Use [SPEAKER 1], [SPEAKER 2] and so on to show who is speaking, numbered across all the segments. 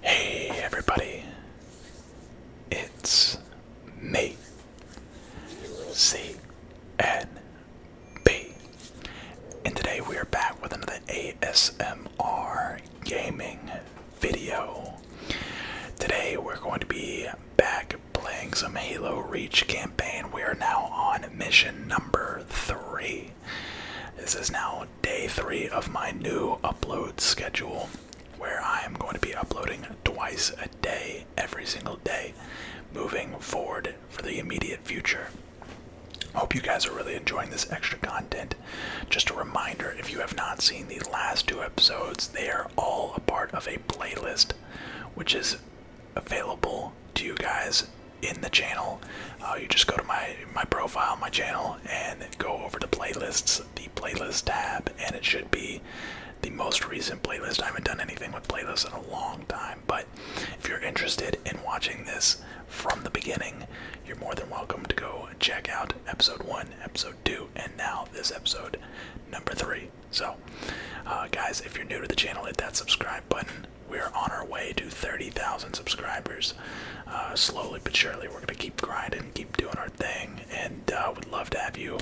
[SPEAKER 1] Hey everybody, it's me, C N B, and today we are back with another ASMR gaming video. Today we're going to be back playing some Halo Reach campaign. We are now on mission number three. This is now day three of my new upload schedule where I am going to be uploading twice a day, every single day, moving forward for the immediate future. Hope you guys are really enjoying this extra content. Just a reminder if you have not seen the last two episodes, they are all a part of a playlist which is available to you guys in the channel. Uh, you just go to my my profile, my channel, and go over to playlists, the playlist tab, and it should be the most recent playlist. I haven't done anything with playlists in a long time, but if you're interested in watching this from the beginning, you're more than welcome to go check out episode one, episode two, and now this episode number three. So, uh, guys, if you're new to the channel, hit that subscribe button. We're on our way to 30,000 subscribers. Uh, slowly but surely, we're going to keep grinding, keep doing our thing, and uh, would love to have you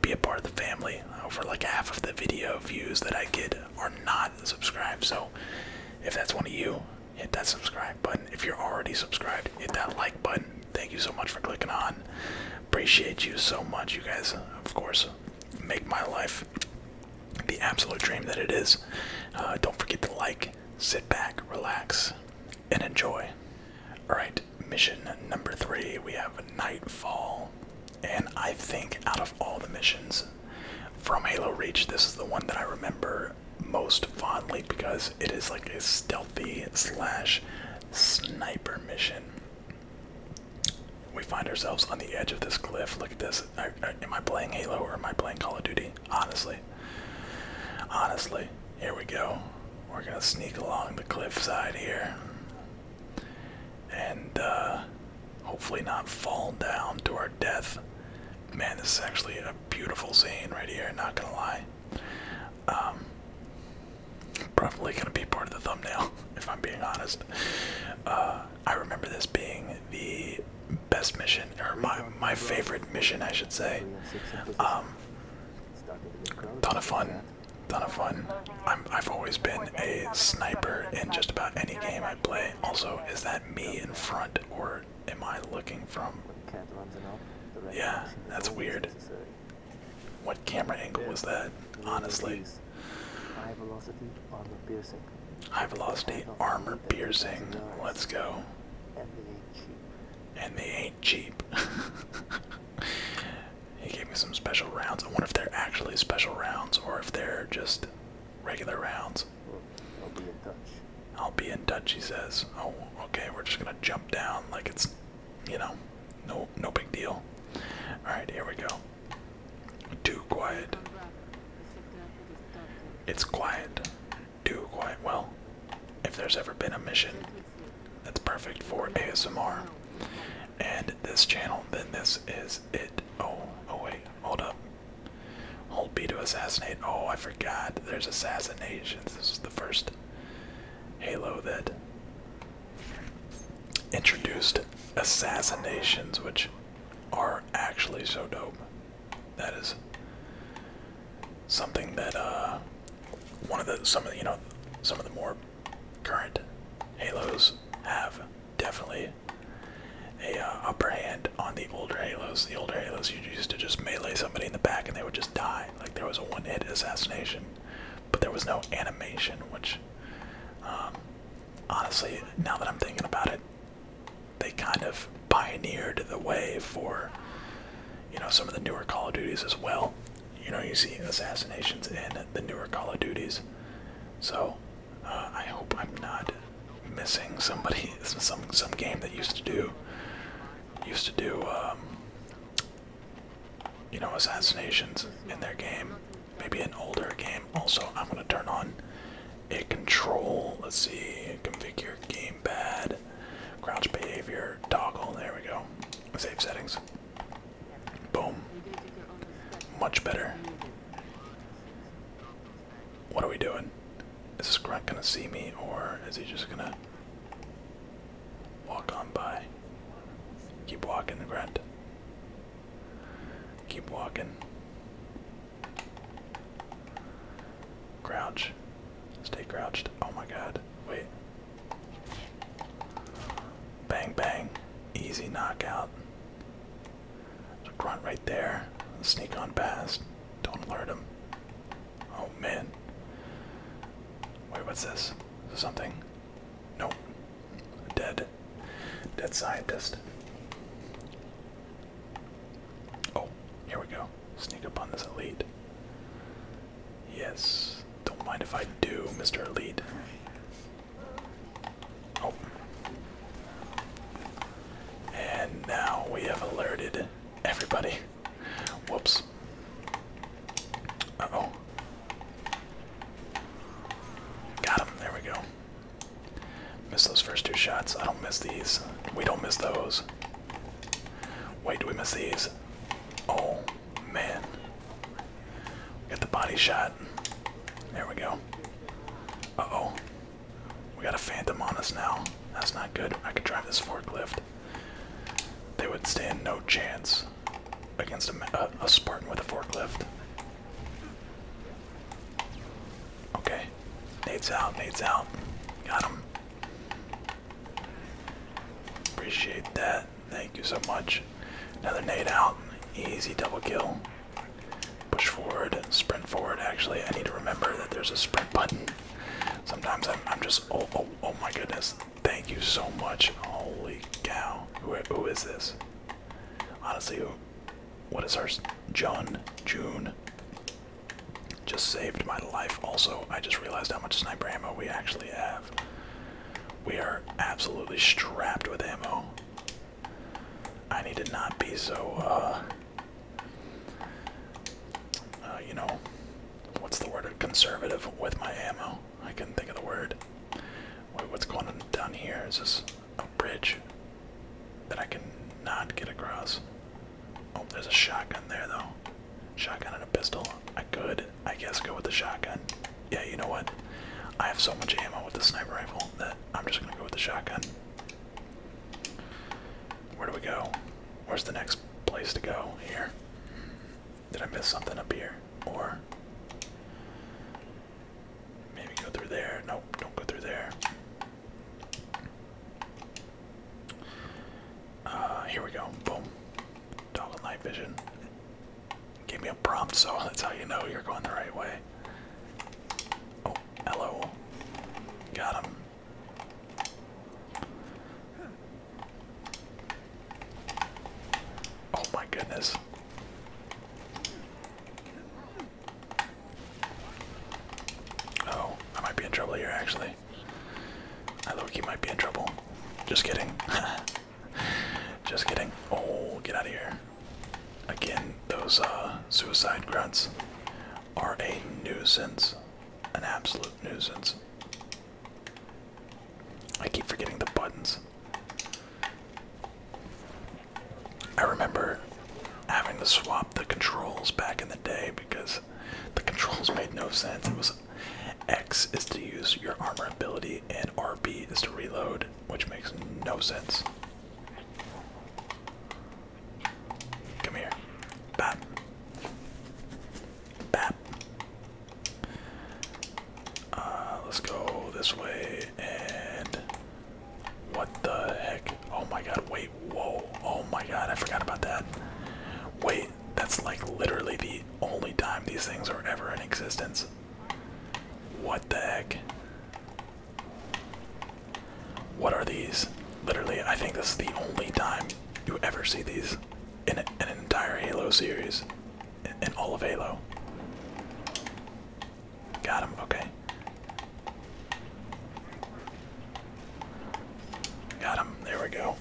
[SPEAKER 1] be a part of the family. Over like half of the video views that I get are not subscribed. So, if that's one of you, hit that subscribe button. If you're already subscribed, hit that like button thank you so much for clicking on. Appreciate you so much. You guys, of course, make my life the absolute dream that it is. Uh, don't forget to like, sit back, relax, and enjoy. Alright, mission number three. We have Nightfall. And I think out of all the missions from Halo Reach, this is the one that I remember most fondly because it is like a stealthy slash Sniper mission. We find ourselves on the edge of this cliff. Look at this. am I playing Halo or am I playing Call of Duty? Honestly. Honestly. Here we go. We're gonna sneak along the cliffside here. And uh, hopefully not fall down to our death. Man, this is actually a beautiful scene right here, not gonna lie. Um, Probably gonna be part of the thumbnail, if I'm being honest. Uh, I remember this being the best mission, or my my favorite mission, I should say. Um, ton of fun, ton of fun. I'm, I've always been a sniper in just about any game I play. Also, is that me in front, or am I looking from? Yeah, that's weird. What camera angle was that? Honestly. High velocity armor piercing. High velocity armor piercing. Let's go. And they ain't cheap. he gave me some special rounds. I wonder if they're actually special rounds or if they're just regular rounds. I'll be in touch. I'll be in touch, he says. Oh, okay, we're just gonna jump down like it's you know, no, no big deal. All right, here we go. Too quiet. It's quiet. Too quiet. Well, if there's ever been a mission that's perfect for ASMR and this channel, then this is it. Oh, oh wait, hold up. Hold B to assassinate. Oh, I forgot. There's assassinations. This is the first Halo that introduced assassinations, which are actually so dope. That is something that uh, one of the some of the, you know some of the more current Halos have definitely a uh, upper hand on the older Halos. The older Halos you used to just melee somebody in the back and they would just die. Like there was a one-hit assassination but there was no animation, which um, honestly, now that I'm thinking about it, they kind of pioneered the way for you know some of the newer Call of Duties as well. You know, you see assassinations in the newer Call of Duties, so uh, I hope I'm not missing somebody some some game that used to do used to do um, you know, assassinations in their game. Maybe an older game. Also, I'm gonna turn on a control. Let's see, configure gamepad, crouch behavior, toggle. There we go. Save settings. Boom. Much better. What are we doing? Is this grunt gonna see me, or is he just gonna? Walk on by. Keep walking, grunt. Keep walking. Crouch. Stay crouched. Oh my god. Wait. Bang, bang. Easy knockout. grunt right there. Sneak on past. Don't alert him. Oh man. Wait, what's this? something? Nope. Dead. Dead scientist. Oh, here we go. Sneak up on this elite. Yes. Don't mind if I do, Mr. Elite. Oh. And now we have alerted everybody. Whoops. oh. Got him. There we go. Missed those first two shots. I don't miss these. We don't miss those. Wait, do we miss these? Oh, man. We got the body shot. There we go. Uh oh. We got a phantom on us now. That's not good. I could drive this forklift. They would stand no chance against a, Spartan with a forklift. Okay, Nate's out, Nate's out. Got him. Appreciate that. Thank you so much. Another nade out. Easy double kill. Push forward, sprint forward. Actually, I need to remember that there's a sprint button. Sometimes I'm, I'm just, oh, oh, oh my goodness. Thank you so much. Holy cow. who is this? Honestly, what is hers? John? June? Just saved my life. Also, I just realized how much sniper ammo we actually have. We are absolutely strapped with ammo. I need to not be so, uh, uh you know, what's the word conservative with my ammo i couldn't think of the word what's going on down here is this a bridge that i can not get across oh there's a shotgun there though shotgun and a pistol i could i guess go with the shotgun yeah you know what i have so much ammo with the sniper rifle that i'm just gonna go with the shotgun where do we go where's the next place to go here did I miss something up here? Or maybe go through there. No, don't go through there. Uh, here we go. Boom. Dog and night vision. Gave me a prompt, so that's how you know you're going the right way. Oh, hello. Got him. Oh my goodness. Oh, I might be in trouble here actually. I low he might be in trouble. Just kidding. Just kidding. Oh, get out of here. Again, those uh, suicide grunts are a nuisance. An absolute nuisance. I keep forgetting the buttons. I remember having to swap the controls back in the day because the controls made no sense. It was X is to use your armor ability and RB is to reload, which makes no sense. Come here. Bap. Uh, let's go this way and what the heck? Oh my god, wait, whoa. Oh my god, I forgot about that. Wait, that's like literally the only time these things are ever in existence. What the heck? What are these? Literally, I think this is the only time you ever see these in an entire Halo series, in all of Halo. Got him. Okay. Got him. There we go.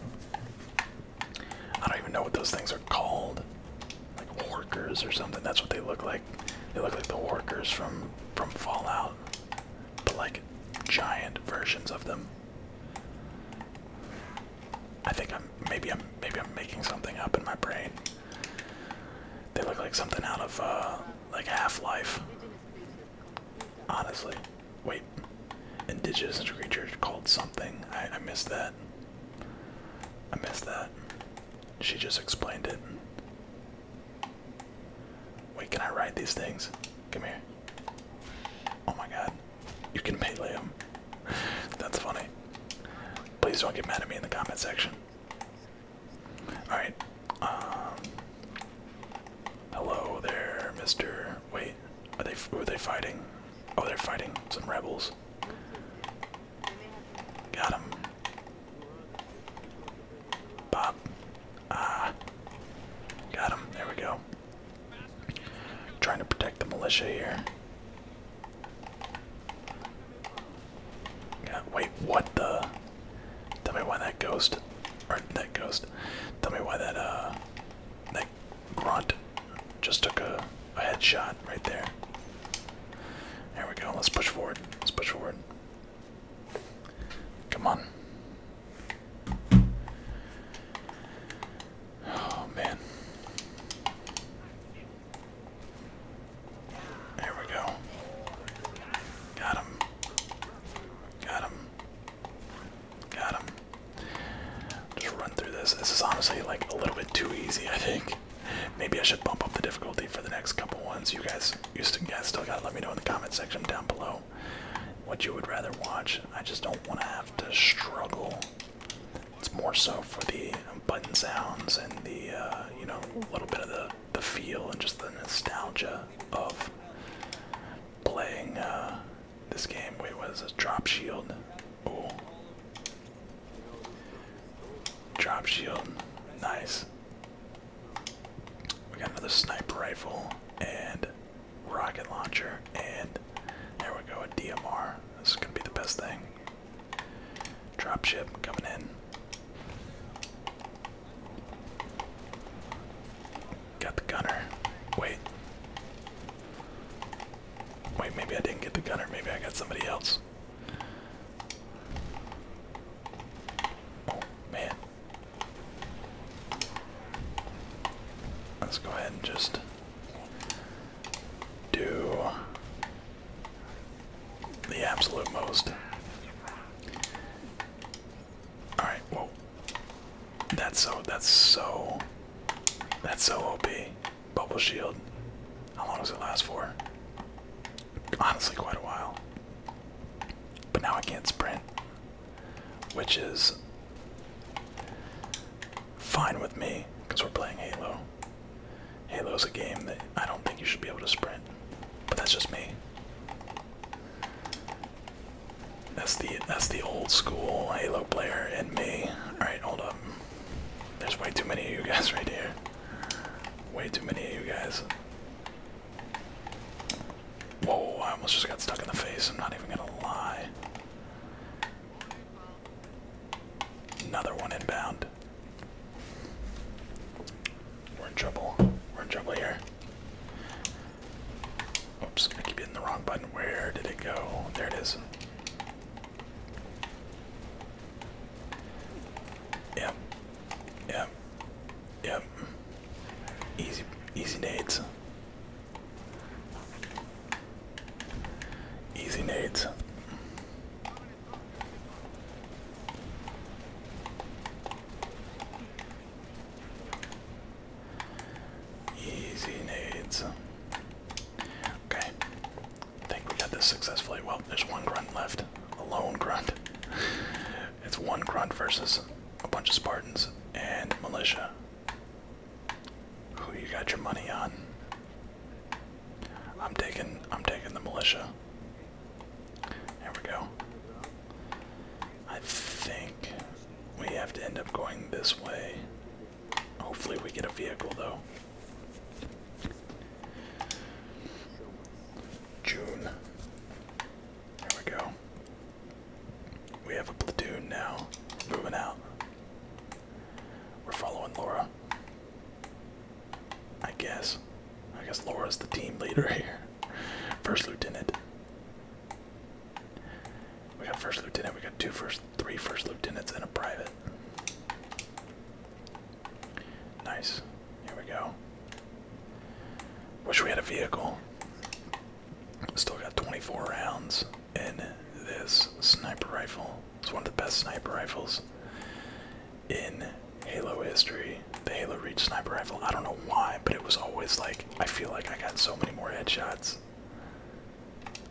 [SPEAKER 1] I don't even know what those things are called. Like workers or something. That's what they look like. They look like the workers from from Fallout, but like giant versions of them. I think I'm maybe I'm maybe I'm making something up in my brain. They look like something out of uh like Half-Life. Honestly. Wait. Indigenous creature called something. I, I missed that. I missed that. She just explained it. Wait, can I ride these things? Come here. Oh my god. You can melee him. That's funny. Please don't get mad at me in the comment section. Alright. Um, hello there, Mr. Wait, are they who are they fighting? Oh, they're fighting some rebels. Got him. Bob, Ah. Got him. There we go. Trying to protect the militia here. Yeah, wait, what the? Tell me why that ghost, or that ghost, tell me why that, uh, that grunt just took a, a headshot right there. There we go, let's push forward, let's push forward. Come on. Oh man. There we go. Got him. Got him. Got him. Just run through this. This is honestly like a little bit too easy, I think. Maybe I should bump up the difficulty for the next couple ones. You guys, you still got let me know in the comment section down below what you would rather watch. I just don't want to have to struggle. It's more so for the button sounds and the, uh, you know, a little bit of the, the feel and just the nostalgia of playing uh, this game. Wait, what is this? Drop Shield. Ooh. Drop Shield. Nice. We got another sniper rifle and rocket launcher, and there we go, a DMR. This is gonna be the best thing. Dropship coming in. Got the gunner. Wait. Wait, maybe I didn't get the gunner, maybe I got somebody else. Oh man, Let's go ahead and just do the absolute most. Alright, whoa. That's so, that's so, that's so OP. Bubble shield. How long does it last for? Honestly, quite a while. But now I can't sprint which is fine with me because we're playing Halo. Halo's a game that I don't think you should be able to sprint, but that's just me. That's the that's the old school Halo player in me. All right, hold up. There's way too many of you guys right here. Way too many of you guys. Whoa, I almost just got stuck in the face. I'm not even going to lie. Another one inbound. We're in trouble. We're in trouble here. Oops, I keep hitting the wrong button. Where did it go? There it is. Yep. Yep. Yep. Easy, easy nades. Easy nades. Easy nades. Okay. I think we got this successfully. Well, there's one grunt left. A lone grunt. It's one grunt versus a bunch of Spartans and militia. Who you got your money on? I'm taking I'm taking the militia. There we go. I think we have to end up going this way. Hopefully we get a vehicle though. June. There we go. We have a platoon now. Moving out. We're following Laura. I guess. I guess Laura's the team leader here. First lieutenant. We got first lieutenant. We got two first, three first lieutenants and a private. Nice. Here we go. Wish we had a vehicle. Still got 24 rounds in this sniper rifle. It's one of the best sniper rifles in Halo history. The Halo Reach sniper rifle. I don't know why, but it was always like, I feel like I got so many more headshots.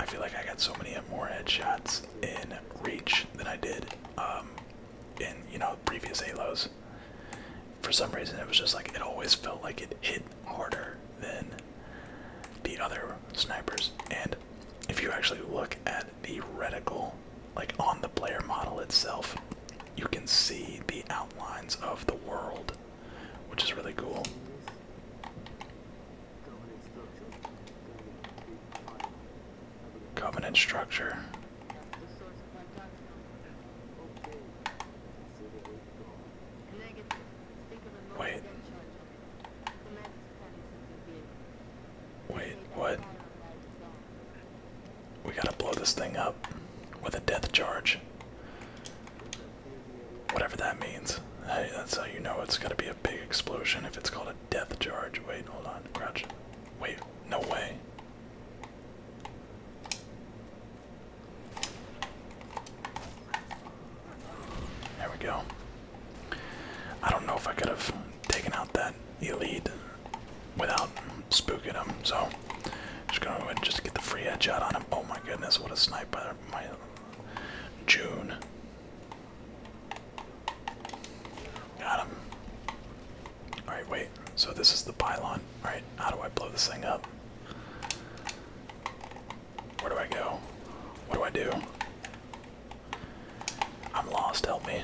[SPEAKER 1] I feel like I got so many more headshots in Reach than I did um, in, you know, previous Halos for some reason it was just like it always felt like it hit harder than the other snipers. And if you actually look at the reticle, like on the player model itself, you can see the outlines of the world, which is really cool. Covenant structure. Wait. Wait, what? We gotta blow this thing up with a death charge. Whatever that means. Hey, that's how you know it's gotta be a big explosion if it's called a death charge. Wait, hold on, crouch. Wait, no way. There we go. I don't know if I could have taken out that elite without spooking him, so just gonna go ahead and just get the free edge out on him. Oh my goodness, what a sniper, my June. Got him. Alright, wait. So this is the pylon. Alright, how do I blow this thing up? Where do I go? What do I do? I'm lost, help me.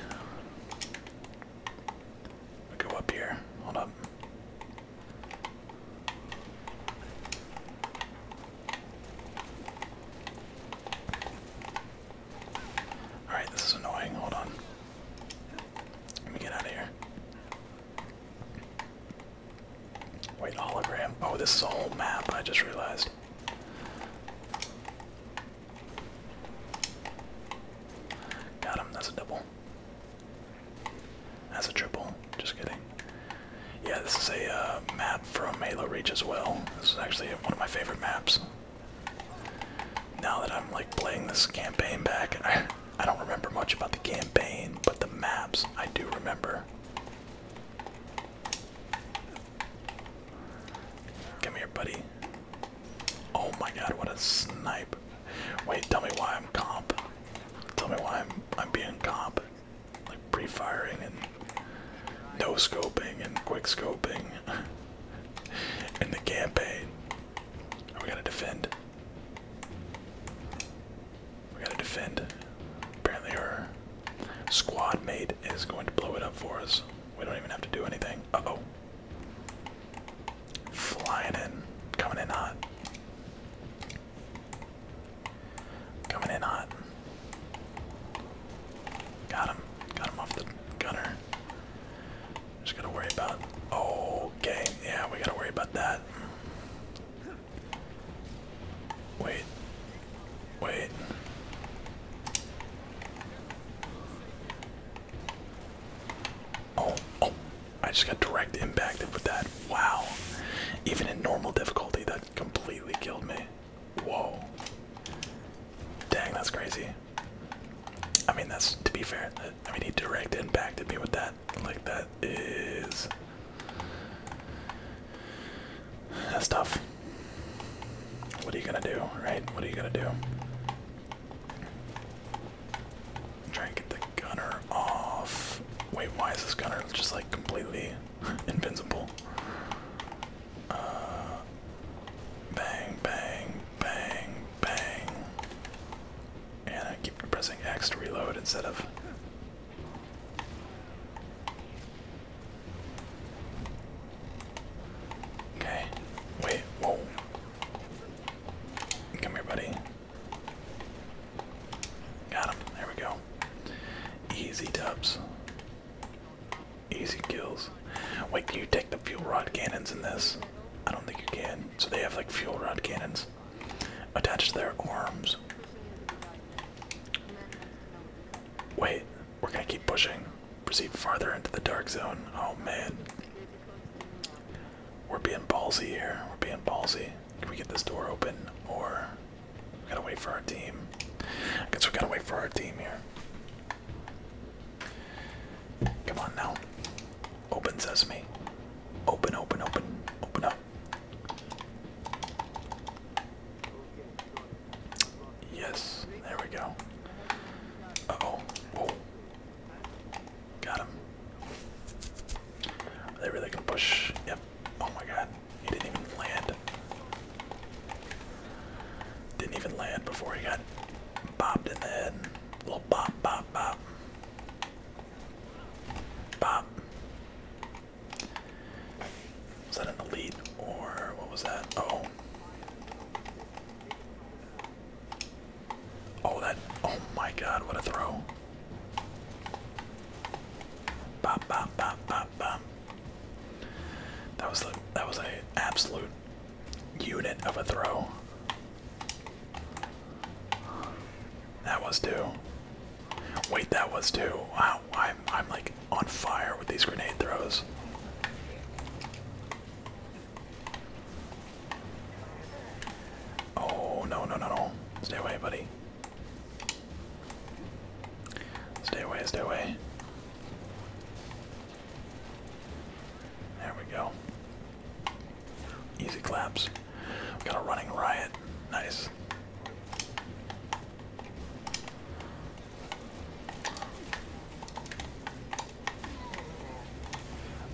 [SPEAKER 1] I go up here. Hold up. Alright, this is annoying. Hold on. Let me get out of here. Wait, hologram. Oh, this is a whole map, I just realized. Got him, that's a double. That's a triple, just kidding. Yeah, this is a uh, map from Halo Reach as well. This is actually one of my favorite maps. Now that I'm like playing this campaign back, I don't remember much about the campaign, but the maps I do remember. Come here, buddy. Oh my god, what a snipe. Wait, tell me why I'm comp. Tell me why I'm I'm being comp. Like pre-firing and no scoping and quick scoping in the campaign. Oh, we gotta defend. We gotta defend. Apparently our squad mate is going to blow it up for us. We don't even have to do anything. Uh-oh. Flying in. Coming in hot. Coming in hot. Got him. Got him off the gunner. Just gotta worry about. Okay, yeah, we gotta worry about that. Wait. Wait. Oh, oh. I just got direct impacted with that. Wow. Even in normal difficulty, that completely killed me. Whoa. Dang, that's crazy. I mean, that's to be fair. I mean, he direct impacted me with that. Like that is that's tough. What are you gonna do, right? What are you gonna do? Try and get the gunner off. Wait, why is this gunner just like completely invincible? Uh, bang, bang, bang, bang. And I keep pressing X to reload instead of. Okay. Wait. Whoa. Come here, buddy. Got him. There we go. Easy dubs. Easy kills. Wait, can you take the fuel rod cannons in this? I don't think you can. So they have like fuel rod cannons attached to their arms. Wait, we're gonna keep pushing. Proceed farther into the dark zone. Oh man. We're being ballsy here. We're being ballsy. Can we get this door open? Or we gotta wait for our team. I guess we gotta wait for our team here. Come on now. Open sesame. Open, open, open, open up. Yes, there we go. Uh oh. Got him. Are they really can push? Yep. Oh my god. He didn't even land. Didn't even land before he got bobbed in the head. Little bop bop bop, bop. Was that an elite or what was that? Oh. Oh, that. Oh my god, what a throw. Bop, bop, bop, bop, bop. That was the. That was a absolute unit of a throw. That was two. Wait, that was two. Wow, I'm I'm like on fire with these grenade throws. Oh no no no no. Stay away, buddy. Stay away, stay away. There we go. Easy claps. got a running riot. Nice.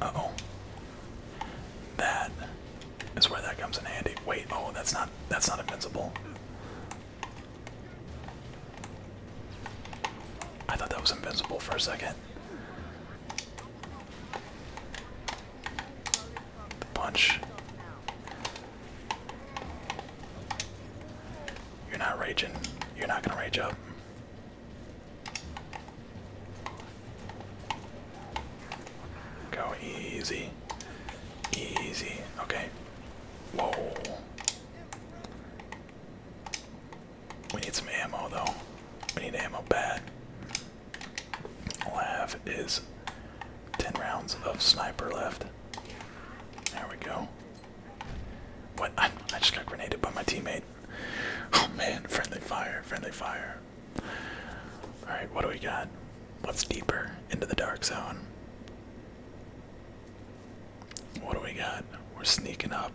[SPEAKER 1] oh. That is where that comes in handy. Wait, oh, that's not that's not invincible. I thought that was invincible for a second punch. You're not raging. You're not gonna rage up. Go easy. Easy. Okay. Whoa. We need some ammo though. We need ammo bad. All I have is 10 rounds of sniper left. There we go. What? I just got grenaded by my teammate. Oh man, friendly fire, friendly fire. Alright, what do we got? What's deeper into the dark zone? What do we got? We're sneaking up.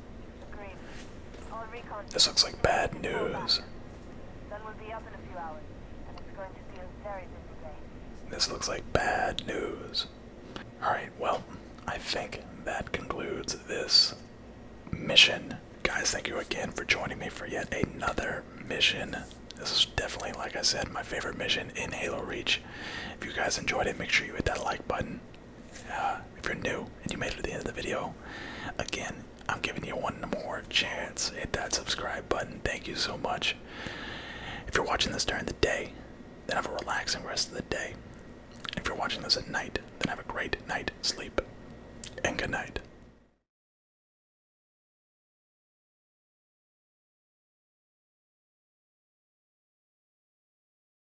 [SPEAKER 1] This looks like bad news. This looks like bad news. Alright, well, I think that concludes this mission. Guys, thank you again for joining me for yet another mission. This is definitely, like I said, my favorite mission in Halo Reach. If you guys enjoyed it, make sure you hit that like button if you're new and you made it to the end of the video, again, I'm giving you one more chance. Hit that subscribe button. Thank you so much. If you're watching this during the day, then have a relaxing rest of the day. If you're watching this at night, then have a great night sleep. And good night.